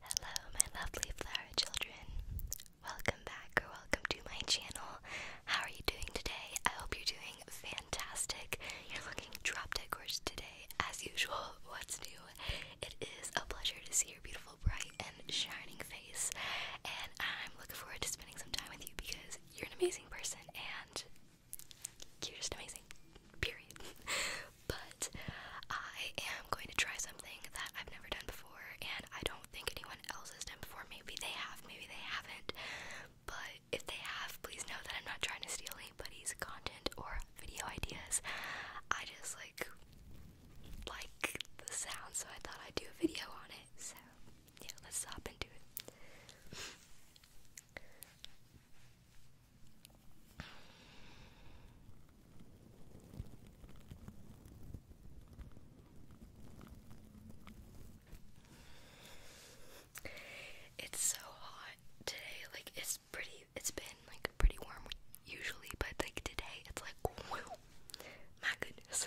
Hello, my lovely flower children. Welcome back or welcome to my channel. How are you doing today? I hope you're doing fantastic. You're looking drop dead gorgeous today, as usual. What's new? It is a pleasure to see your beautiful, bright, and shining face, and I'm looking forward to spending some time with you because you're an amazing person and you're just amazing. Period. but I am going to try something that I've never done before, and I don't think anyone else has done before. Maybe they have, maybe they haven't, but if they have, please know that I'm not trying to steal anybody's content or video ideas. I just like like the sound, so I thought I'd do a video on it. So yeah, let's hop into it. It's so hot today. Like it's pretty. It's been like pretty warm usually, but like today, it's like my goodness.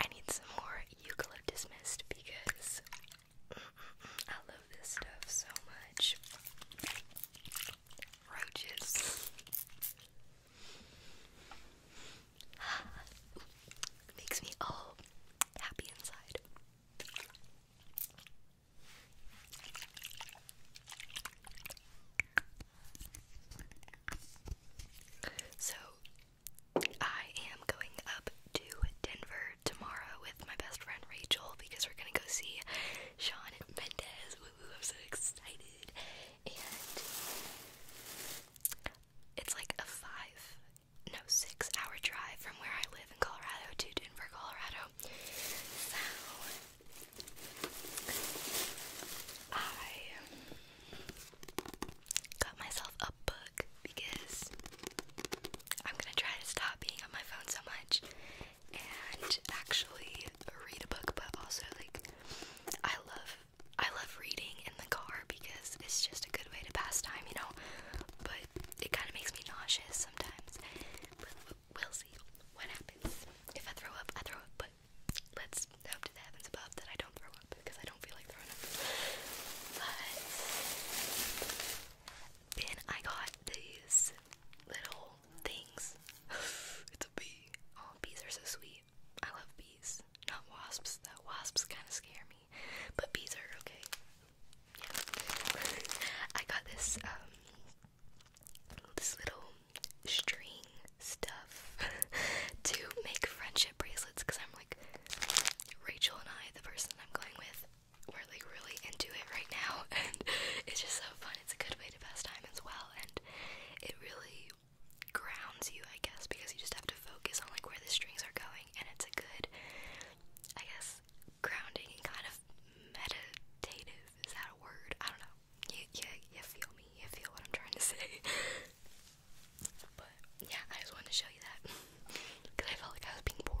I need some more eucalyptus mist because I love this stuff so much. Roaches. Makes me all happy inside. So, I am going up to Denver tomorrow with my best friend Rachel because we're gonna go see Sean Mendez. Woo woo, I'm so excited. And it's like a five, no, six hour drive from where I live in Colorado to Denver, Colorado. So I got myself book because I'm gonna try to stop being on my phone so much and actually read a book, but also like I love I love reading in the car because it's just a good way to pass time, you know. But it kind of makes me nauseous sometimes. But we'll see what happens. If I throw up, I throw up. But let's hope to the heavens above that I don't throw up because I don't feel like throwing up. But then I got these little things. it's a bee. Oh, bees are so sweet. I love bees. Not wasps, though. Wasps kind of scare me. But bees are okay. I got this, um, this little string stuff to make friendship bracelets because I'm like, Rachel and I, the person I'm going with, we're like really into it right now, and it's just so fun. It's a good way to pass time as well, and it really grounds you, I guess, because you just have to focus on like where the strings are going, and it's a good, I guess, grounding and kind of meditative. Is that a word? I don't know. You, you, you feel me? You feel what I'm trying to say? But yeah, I just wanted to show you that because I felt like I was being boring.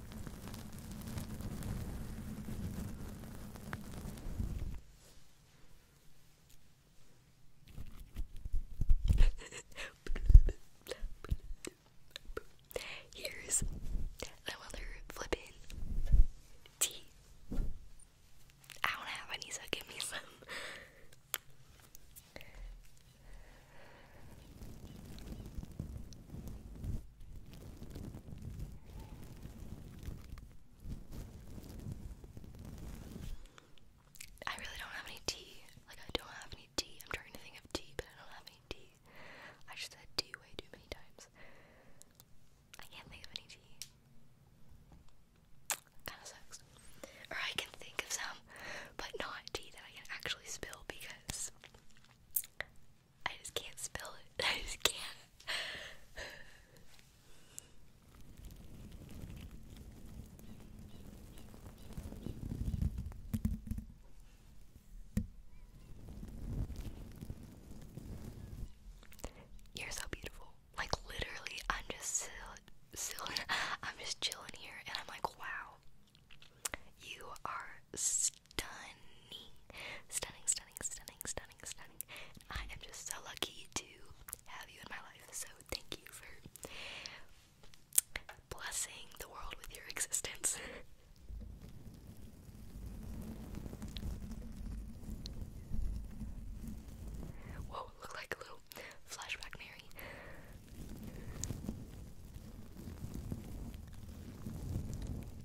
Here's another flippin' tea. I don't have any, so give me some. I really don't have any tea. Like, I don't have any tea. I'm trying to think of tea, but I don't have any tea. I just said tea way too many times. I can't think of any tea. Kinda sucks. Or I can think of some, but not tea that I can actually spill because I just can't spell it. I just can't. You're so beautiful. Like literally, I'm just still, I'm just chilling here, and I'm like, wow. You are stunning, stunning, stunning, stunning, stunning, stunning. I am just so lucky to have you in my life. So thank you for blessing the world with your existence. Whoa, look like a little flashback, Mary.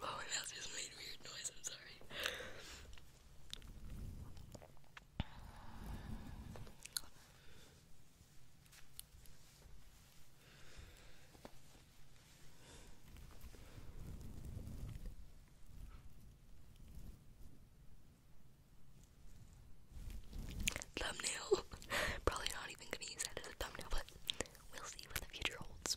Oh, my mouth just made a weird noise, I'm sorry thumbnail. Probably not even gonna use that as a thumbnail, but we'll see what the future holds.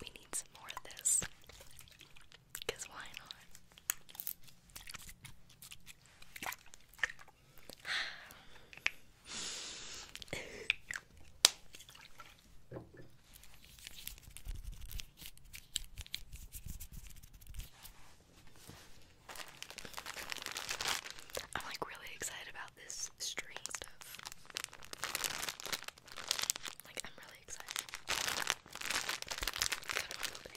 We need some more of this. Because why not? I'm like really excited about this string stuff. Like I'm really excited. Look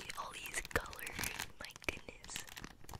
at all these colors, my goodness.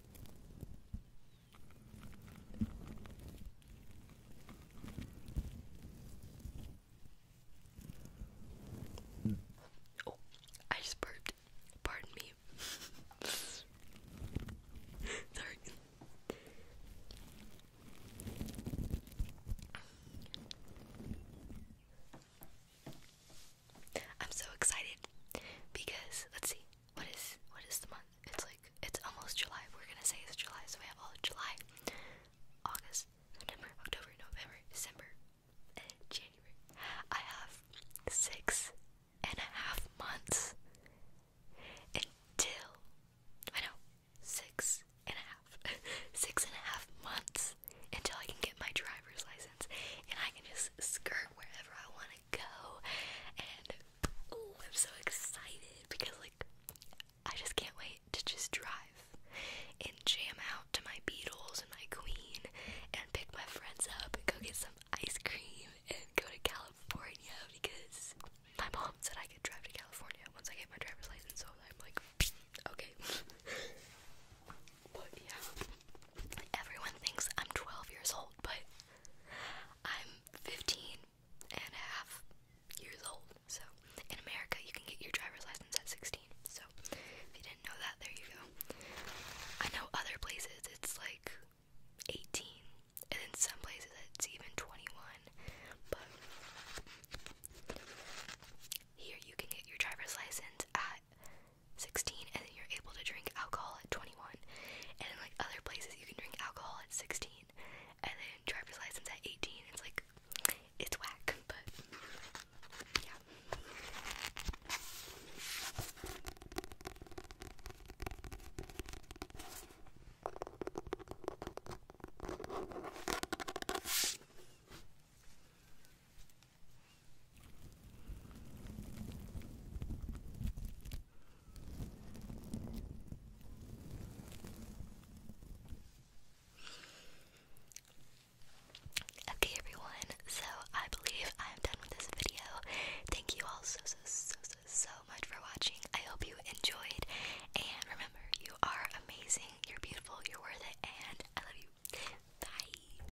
Oh, I just burped. Pardon me. Sorry. I'm so excited because let's see, what is what is the month? It's like it's almost July. We're gonna say it's July, so we have all of July, August, September, October, November, December, and January. I have six and a half months until I know six and a half, six and a half months until I can get my driver's license and I can just skirt wherever I want go. And I'm so excited because, like, I just can't wait to just drive and jam out to my Beatles and my Queen and pick my friends up and go get some ice cream and go to California because my mom said I could drive to California once I get my driver's license. So I'm like, okay. yeah, Everyone thinks I'm 12 years old, but I'm 15 and a half years old. So, in America, you can get your driver's license at 16. So, if you didn't know that, there you go. I know other places it's like 18, and in some places it's even 21. But here you can get your driver's license at 16 and then you're able to drink alcohol at 21 and in like other places you can drink alcohol at 16 and then driver's license at 18 it's like it's whack but yeah Okay, everyone, so I believe I'm done with this video. Thank you all so, so, so, so, so much for watching. I hope you enjoyed, and remember, you are amazing, you're beautiful, you're worth it, and I love you. Bye.